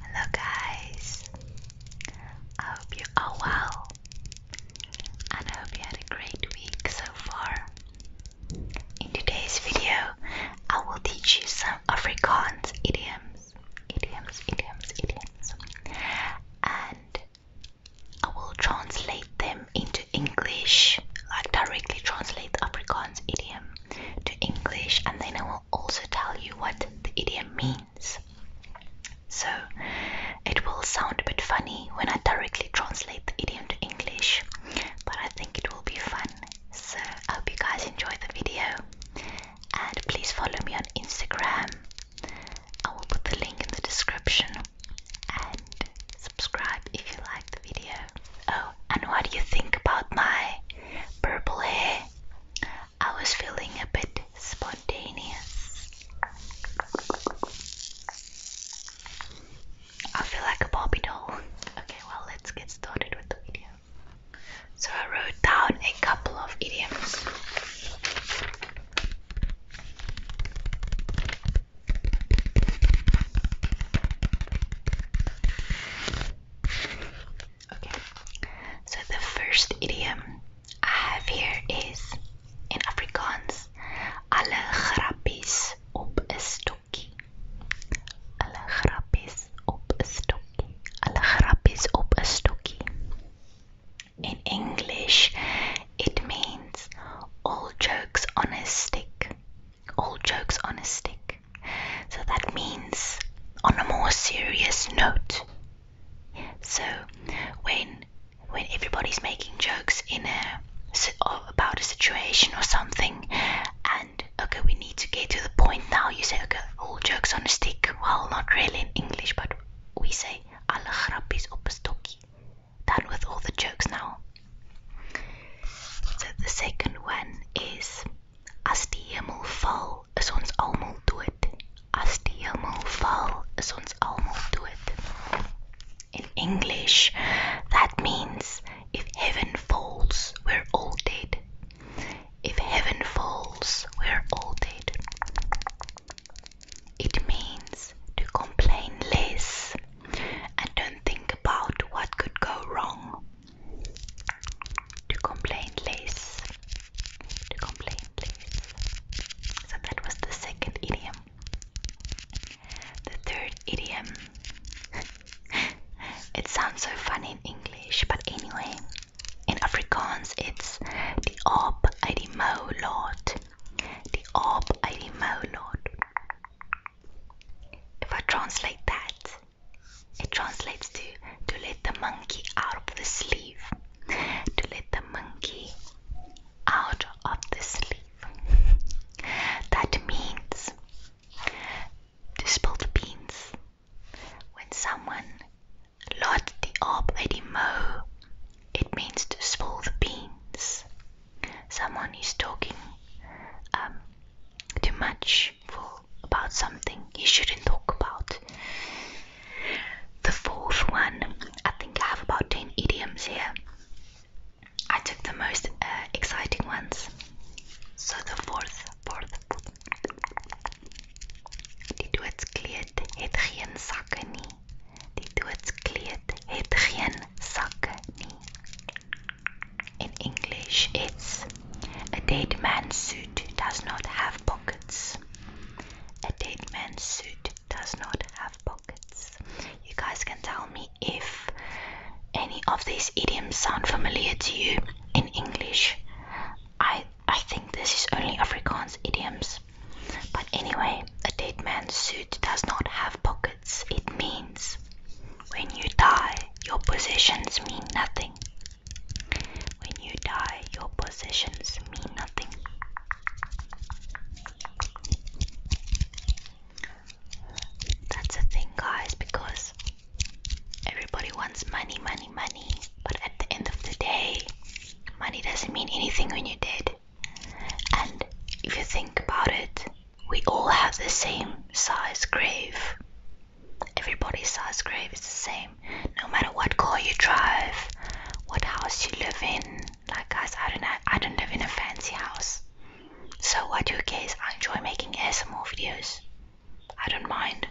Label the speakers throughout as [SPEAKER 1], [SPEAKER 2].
[SPEAKER 1] Hello, guys. I hope you're well, and I hope you had a great week so far. In today's video, I will teach you some Afrikaans idioms, idioms, idioms, idioms, and I will translate them into English, like directly translate the Afrikaans idiom to English, and then I will also tell you what the idiom means. So it will sound a bit funny when I directly translate the idiom to English, but I think it will be fun. So I hope you guys enjoyed the video and please follow me on Instagram. I will put the link in the description and subscribe if you like the video. Oh, and what do you think about my purple hair? I was feeling a bit spontaneous. I feel like a Barbie doll. Okay, well, let's get started with the video. So, I wrote down a couple of idioms. Okay, so the first idiom I have here is in Afrikaans: "Alle grappies op 'n stokkie." Alle grappies op 'n stokkie. Alle grappies op 'n stokkie. In English, it means all jokes on a stick. All jokes on a stick. So that means, on a more serious note. So, when when everybody's making jokes in a about a situation or something, and okay, we need to get to the point now. You say, okay, all jokes on a stick. Well, not really in English, but we say alle grappies op stokkie. Done with all the jokes now. So the second one is as die hemel val, is ons almal dood. As die hemel val, is ons almal dood. In English, that means if heaven falls, we're all dead. If heaven falls, we're all dead. It means to complain less and don't think about what could go wrong to complain less. To complain less. So that was the second idiom. The third idiom. it sounds so funny in English, but anyway, in Afrikaans it's the aap uit die mou laat. Die aap uit die If I translate that, it translates to to let the monkey out of the sleeve. To let the monkey out of the sleeve. that means to spill the beans when someone lot the op mo it means to spill the beans. Someone is talking um, too much about something he shouldn't talk about. The fourth one, I think I have about 10 idioms here. I took the most uh, exciting ones. So the fourth, fourth, fourth. Die doodskleed het geen sakke nie. Die doodskleed in English, it's a dead man's suit does not have pockets. A dead man's suit does not have pockets. You guys can tell me if any of these idioms sound familiar to you in English. I I think this is only Afrikaans idioms. But anyway, a dead man's suit does not have pockets. It means when you die, your possessions mean nothing. When you die, your possessions mean nothing. That's a thing, guys, because everybody wants money, money, money, but at the end of the day, money doesn't mean anything when you're dead. And if you think about it, we all have the same size grave. Everybody's size grave is the same, no matter what car you drive, what house you live in. Like guys, I don't I don't live in a fancy house. So what do you guys? I enjoy making ASMR videos. I don't mind.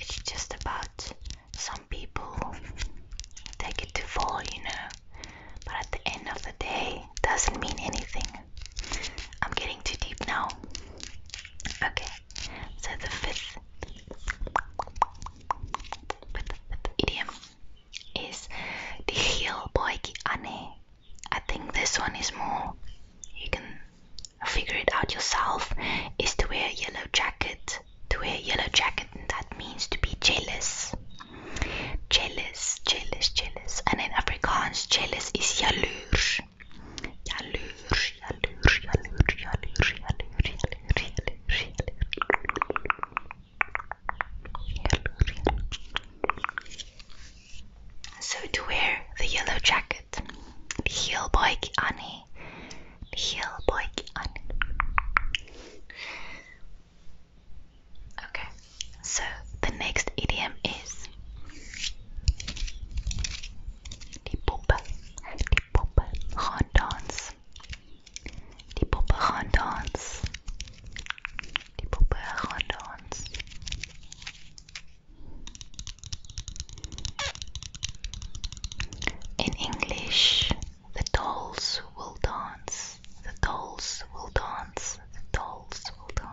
[SPEAKER 1] It's just about some people take it to far, you know. But at the end of the day, doesn't mean anything. I'm getting too deep now. Okay, so the fifth, idiom is the heel poiki ane. I think this one is more you can figure it out yourself. Is to wear yellow jacket. To wear yellow jacket, that means to be jealous. Jealous, jealous, jealous. And in Afrikaans, jealous is jaloers. So to wear the yellow jacket, heel bike Annie, heel bike Annie. Okay, so the next idiom is die Puppe, die Puppe gaan dans. Die Puppe gaan dans. Die Puppe gaan dans. In English, the dolls will dance. The dolls will dance. The dolls will dance.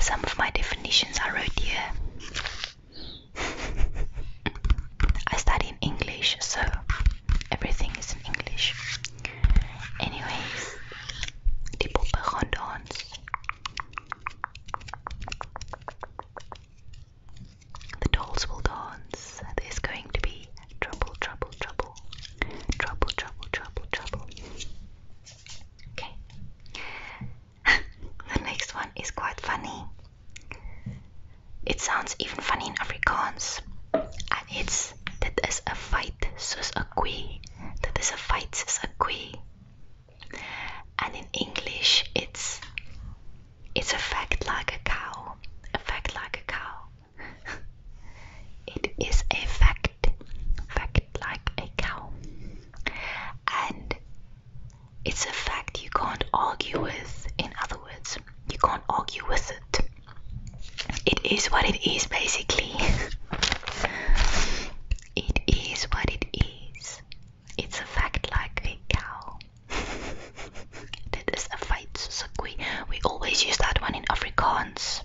[SPEAKER 1] Some of my definitions I wrote here. I study in English, so everything is in English. Anyways, die poppe gaan The dolls will dance. There's going to be trouble, trouble, trouble. Trouble, trouble, trouble, trouble. Okay the next one is quite funny. It sounds even funny in Afrikaans. And it's dit is 'n feit soos 'n koe. Dit is 'n feit soos 'n koe. And in English it's it's a fact like a cow. A fact like a cow. it is a fact fact, like a cow. And it's a fact you can't argue with, in other words, you can't argue with it. It is what it is, basically. it is what it is. It's a fact like a cow. that is a fight, so we always use that one in Afrikaans.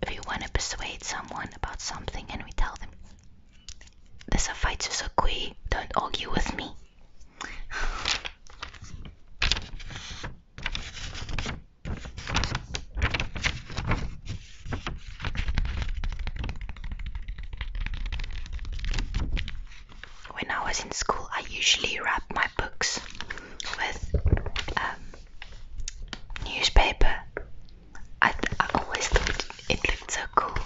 [SPEAKER 1] If you want to persuade someone about something and we tell them, "There's a fight to Susukui, don't argue with me. When I was in school, I usually wrapped my books with um, newspaper I, always thought it looked so cool.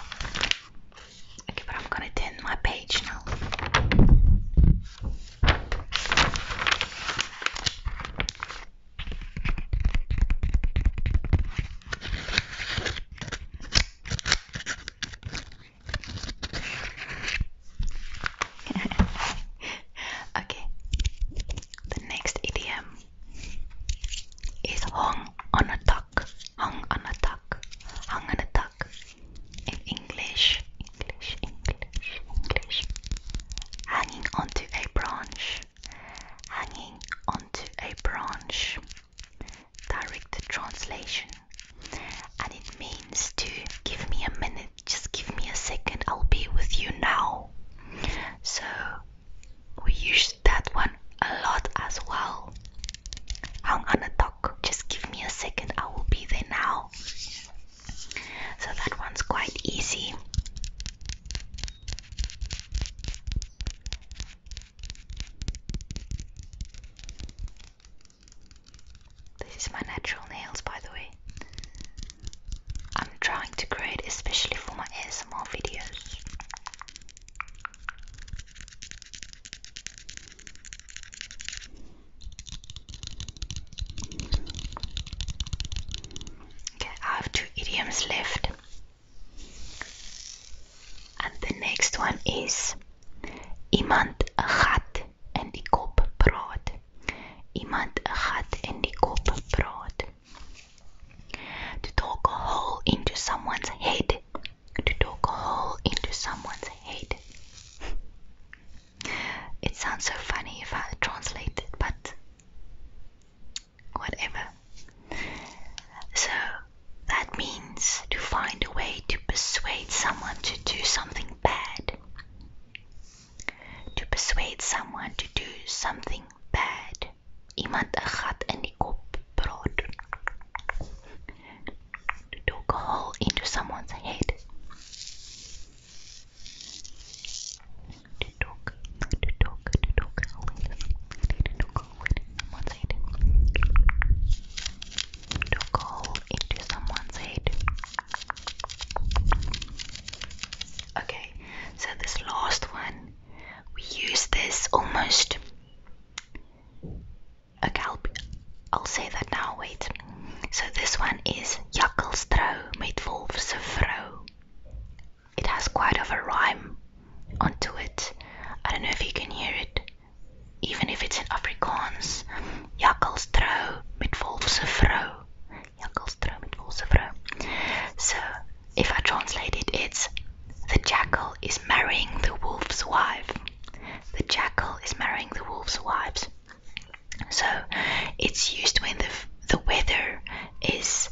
[SPEAKER 1] Okay, but I'm gonna turn my page now. okay, the next idiom is hung on a tuck. Hung on a tuck. Hung on a tuck. In English, English, English, English. Hanging onto a branch. Hanging onto a branch. Direct translation. And it means to give me a minute, just give me a second, I'll be with you now. So we used that one a lot as well. I'm gonna talk, just give me a second, I will be there now. So that one's quite easy. This is my natural nails, by the way. I'm trying to create especially for my ASMR videos. Okay, I have two idioms left. And the next one is iemand gaat en die kop brood. Iemand gaat en die kop brood. To talk a hole into someone's head. To talk a hole into someone's head. it sounds so funny if I translate it, but whatever. So that means to find a way to persuade someone to do something bad. To persuade someone to do something bad. Iemand een gat in die kop brood. To talk a hole into someone's head. To talk, to talk, To talk a hole into someone's head. Okay, so this last one, we use this almost. Okay, I'll, say that now. Wait. So this one is Jakkelstro met Wolfse Vrouw. It has quite of a rhyme onto it. I don't know if you can hear it, even if it's in Afrikaans. Jakkelstro met Wolfse Vrouw. Jungelstrom in Wolsevre. So if I translate it, it's the jackal is marrying the wolf's wife. The jackal is marrying the wolf's wives. So it's used when the the weather is.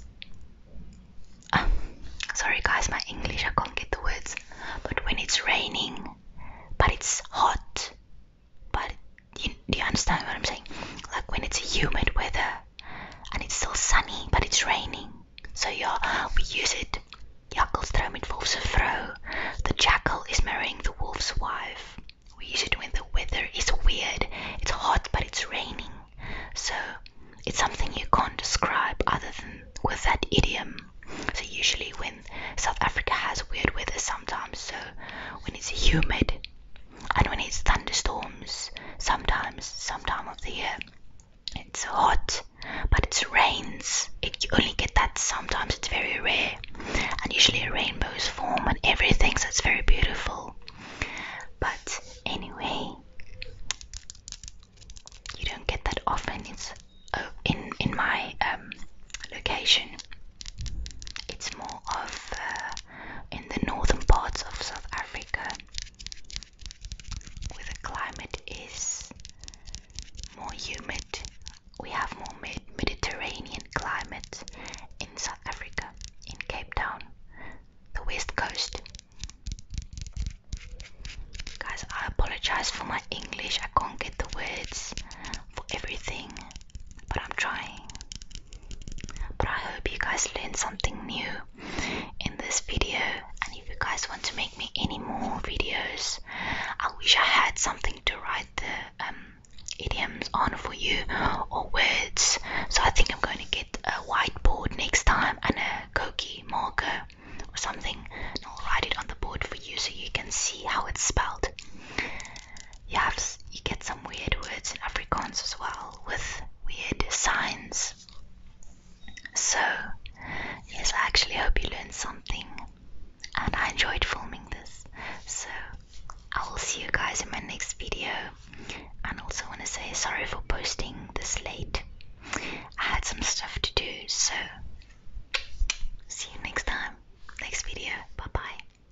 [SPEAKER 1] Um, sorry guys, my English I can't get the words. But when it's raining, but it's hot, but do you understand what I'm saying? Like when it's humid weather and it's still sunny but it's raining. So yeah, we use it. Jackelstroom it wolf's vrouw. The jackal is marrying the wolf's wife. We use it when the weather is weird. It's hot but it's raining. So it's something you can't describe other than with that idiom. So usually when South Africa has weird weather sometimes, so when it's humid and when it's thunderstorms, sometimes, some time of the year, it's hot, but it rains. It, you only get that sometimes, it's very rare. And usually rainbows form and everything, so it's very beautiful. But anyway, you don't get that often. It's oh, in in my um, location. It's more of uh, in the northern parts of South Africa, where the climate is more humid. We have more mid Mediterranean climate in South Africa, in Cape Town, the west coast. Guys, I apologize for my English. I can't get the words for everything but I'm trying. But I hope you guys learned something new in this video. And if you guys want to make me any more videos, I wish I had something to write the um, idioms on for you or words. So I think I'm going to get a whiteboard next time and a cookie marker or something, and I'll write it on the board for you so you can see how it's spelled you have you get some weird words in Afrikaans as well with weird signs. So yes, I actually hope you learned something, and I enjoyed filming this. So I will see you guys in my next video. And also want to say sorry for posting this late. I had some stuff to do, so see you next time, next video. Bye bye.